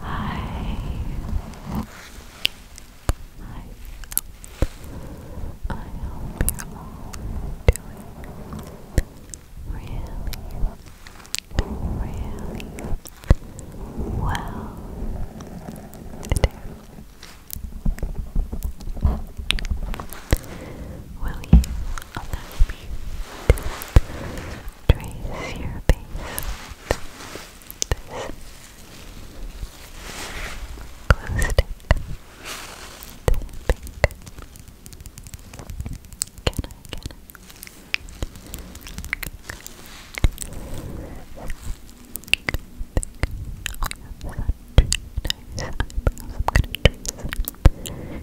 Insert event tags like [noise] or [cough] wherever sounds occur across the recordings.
Hi. I hope you're doing really, really well today. Will you allow me to trace your base this glue stick. Tapping. Can I, can I? you I'm gonna trace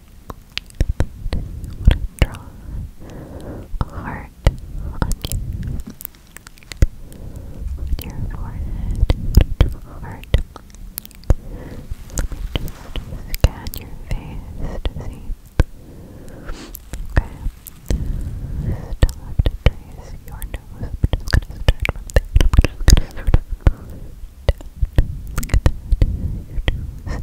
that would draw a heart on you. your forehead, heart. Let me just scan your face to see. Okay. Still have to trace your nose. just gonna start Look at that. Your nose.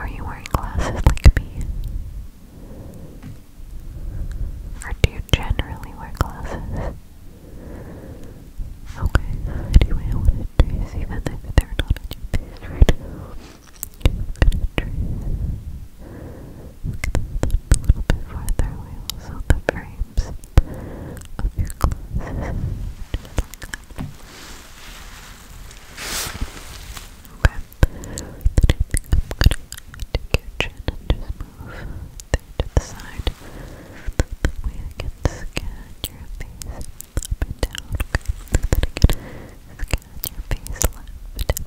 Are you wearing glasses like me? Or do you generally wear glasses? Okay, anyway, I wanted to see that if they're not on your a little bit farther away, also the frames of your glasses. Then I am gonna take your chin and just move there to the side. That way I can scan your face up and down. Okay. So that I can scan your face left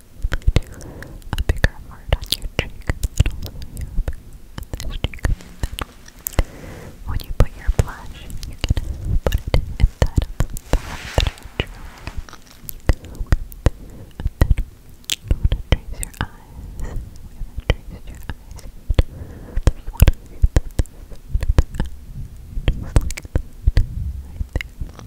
a bigger heart on your cheek and also here on this cheek. When you put your blush, you can put it inside of the heart that I drew. And then you want trace your eyes. We haven't traced your eyes yet. There's one of you that's just like that, right there.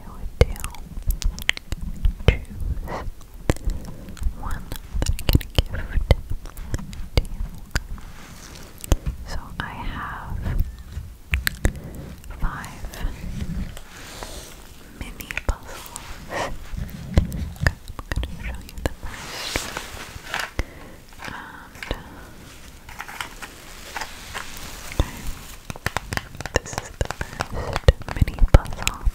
do one I can gift to you. So I have five mini puzzles. Okay, I'm going to show you the first. Okay. This is the first mini puzzle. Okay.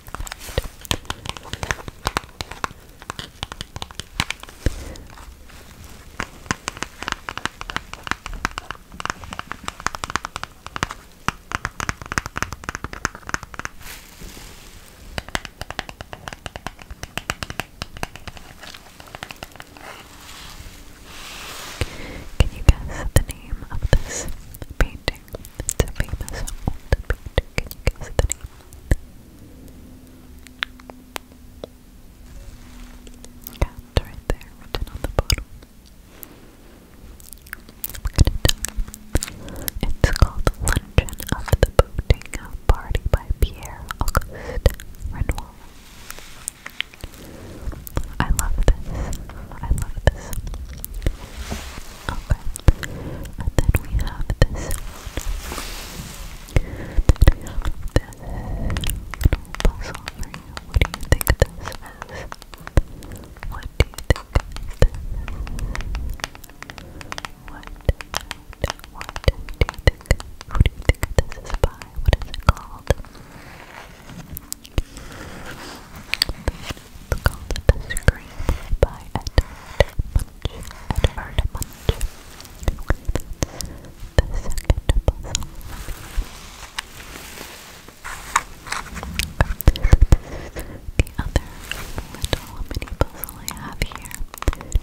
Can you guess the name of this painting? It's a famous painting. Can you guess the name? Yeah, it's right there, written on the bottom. I'm It's called Luncheon of the Boating Party by Pierre Auguste Renoir. I love this. I love this. Okay. And then we have this this little What do you think this is? What do you think this is? What, what, what Who do you think this is by? What is it called? It's The Scream by The second puzzle. The other little mini puzzle I have here.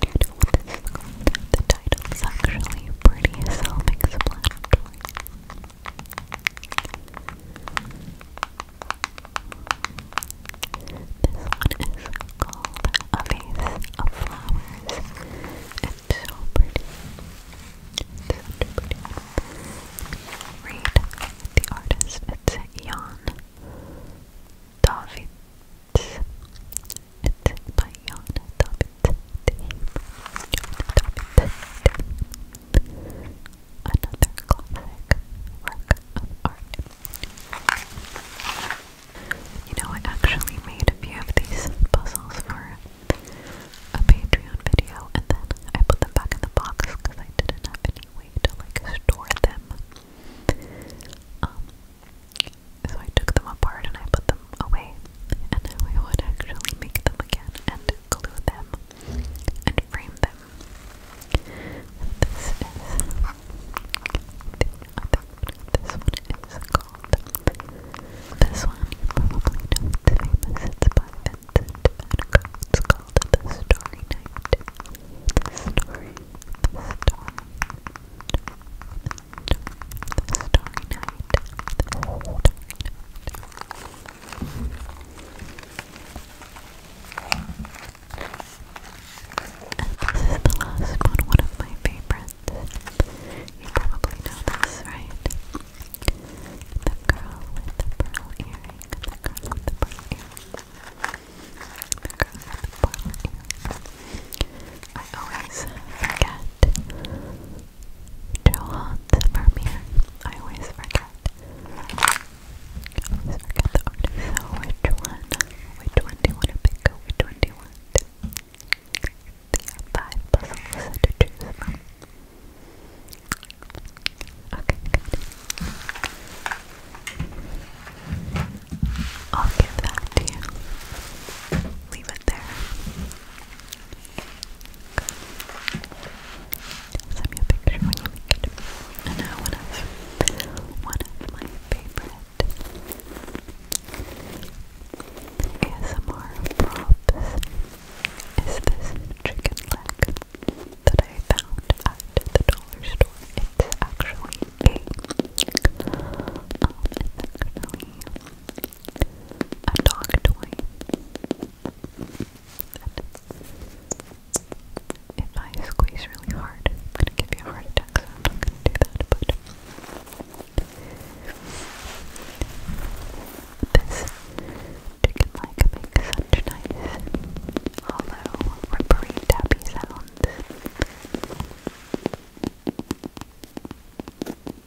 you this is called? The title's actually pretty self-explanatory one is called A Vase of Flowers. It's so pretty. so pretty. Read the artist. It's Jan Davids. It's Another classic work of art. You know, I actually made a few of these puzzles for a Patreon video, and then I put them back in the box because I didn't have any way to like store them. Um, so I took them apart and I put them away and then we would actually make them again and glue them and frame them. This is This one is called. This one probably know it's famous. It's by It's called The Story Night. The Story. The this is the last one, one of my favorites. You probably know this, right? The girl with the pearl earring. The girl with the pearl earring. The girl with the pearl earring. I always forget Johann Vermeer. I always forget. always forget the artist. So which one? Which one do you want to pick? Which one do you want? There five puzzles to choose from. Okay, good. I'll give that to you. Leave it there. Send me a picture when you make it. And now one of one of my favorite ASMR props is this chicken leg that I found at the dollar store. It's actually a um, it's a dog toy. if I squeeze really hard, I'm gonna give you a heart attack, so I'm not gonna do that, but this chicken like makes such nice hollow rubbery tappy sounds.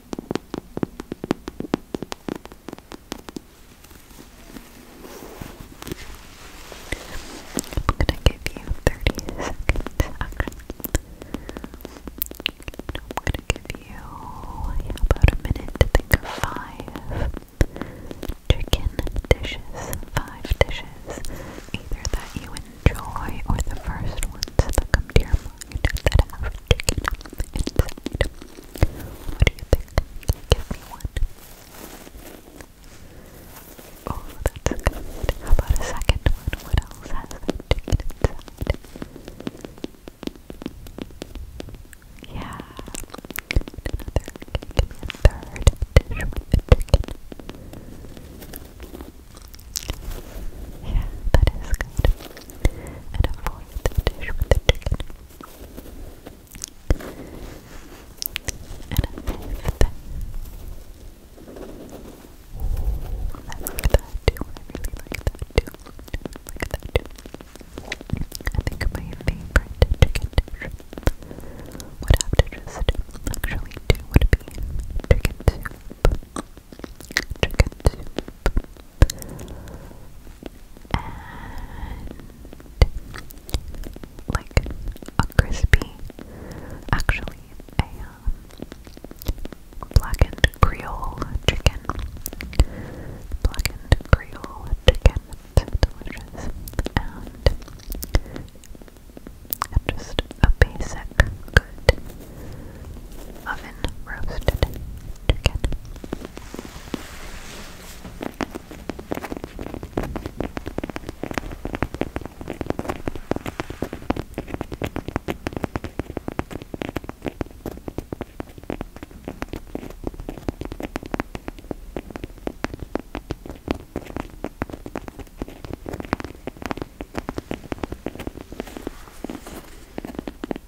I'm gonna give you 30 seconds I'm gonna give you about a minute to think of five chicken dishes, five dishes, either that you enjoy or the first ones that come to your mind that have chicken inside. What do you think? Give me one. Oh, that's good. How about a second one? What else has that chicken inside? Yeah. Another. Give me a third Yeah, that is good and avoid the dish with the chicken. And I think that I like that too. I really like that too. I like that too. I think my favorite chicken dish would have to just actually do would be chicken soup chicken and like a crispy, actually a um, blackened Creole chicken, blackened Creole chicken, so delicious, and just a basic good oven roasted chicken. Now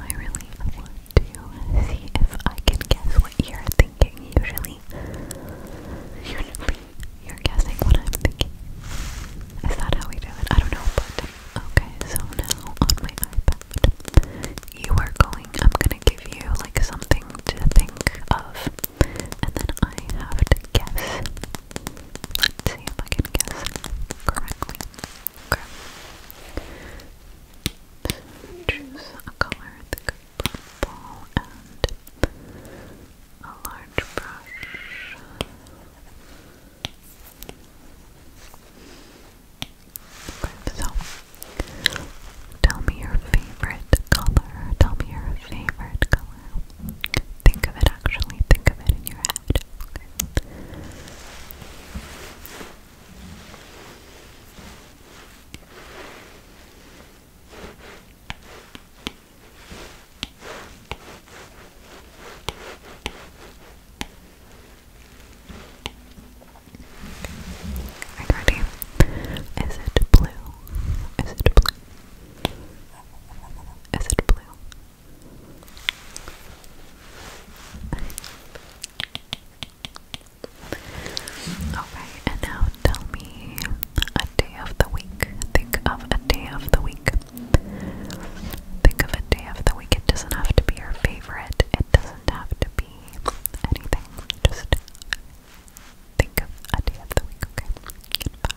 I really want to see if I can guess what you're thinking. Usually, usually you're guessing what I'm thinking. Is that how we do it? I don't know, but okay, so now on my iPad, you are going, I'm gonna give you like something to think of, and then I have to guess. Let's see if I can guess correctly. Okay choose a color, I think purple, and a large brush. so, tell me your favorite color. Tell me your favorite color. Think of it actually, think of it in your head. I got you. Is it blue? Is it blue? Is it blue? Okay, and now tell me a day of the week. Think of a day of the week. Think of a day of the week. It doesn't have to be your favorite, it doesn't have to be anything. Just think of a day of the week, okay? In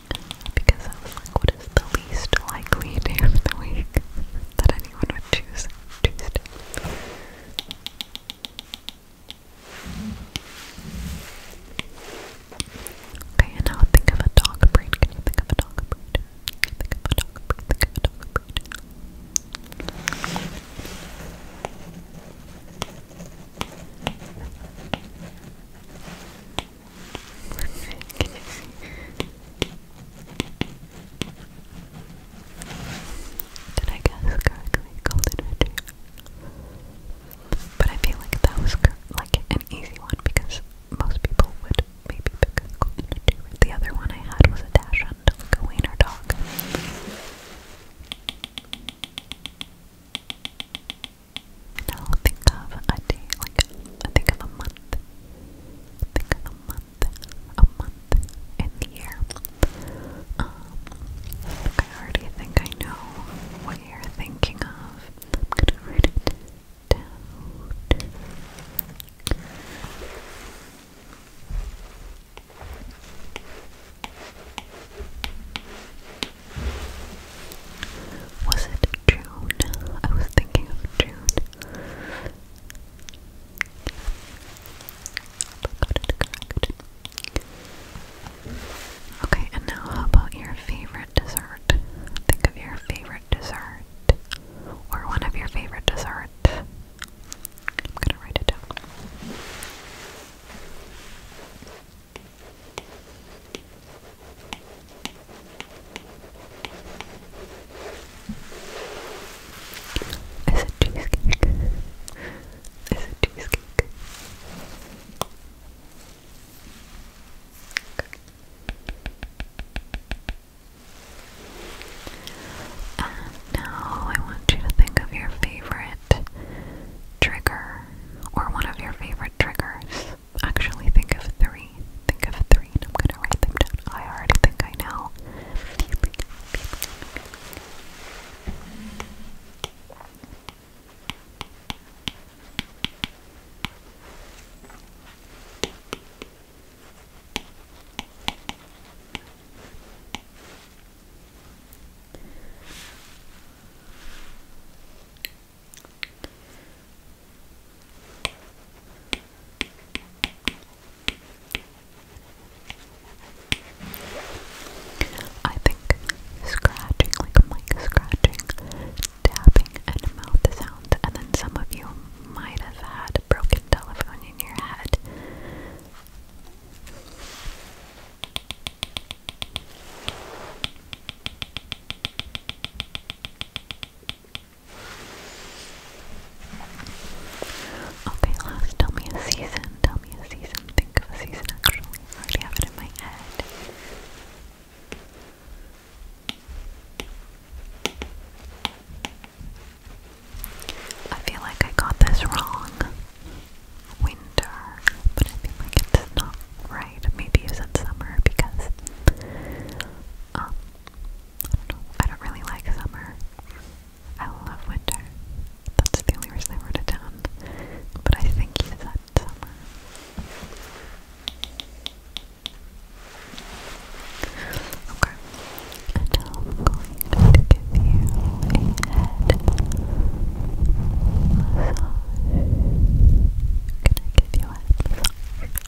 because I was like, what is the least likely day of the week [laughs] that anyone would choose Tuesday? Okay, and now think of a dog breed. Can you think of a dog breed? Think of a dog breed. Think of a dog breed. Did I guess correctly? Golden Retriever. But I feel like that was like an easy one because most people would maybe pick a Golden Retriever. The other one I had was a Dash Hunt, like a wiener dog. Now think of a day, like think of a month. Think of a month, a month in the year. Um, I already think I know what you're thinking of. Was it June. I was thinking of June. Okay, and now how about your favorite dessert? Think of your favorite dessert. Or one of your favorite desserts. I'm gonna write it down. Is it cheesecake? Is it cheesecake? And uh, now I want you to think of your favorite trigger or one of your favorite triggers actually think of three. Think of three, and I'm gonna write them down. I already think I know. I think scratching, like mic scratching, tapping, and mouth sound, and then some of you might have had a broken telephone in your head. Okay, last, tell me a season. Tell me a season. Think of a season, actually. I already have it in my head. I feel like I got this wrong. Winter, but I feel it's not right? Maybe you said summer because um, I don't really like summer. I love winter. That's the only reason I wrote it down. But I think you said summer. Okay. And I'm going to give you a head massage. Can I give you a head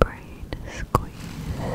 Brain squeeze. Brain squeeze.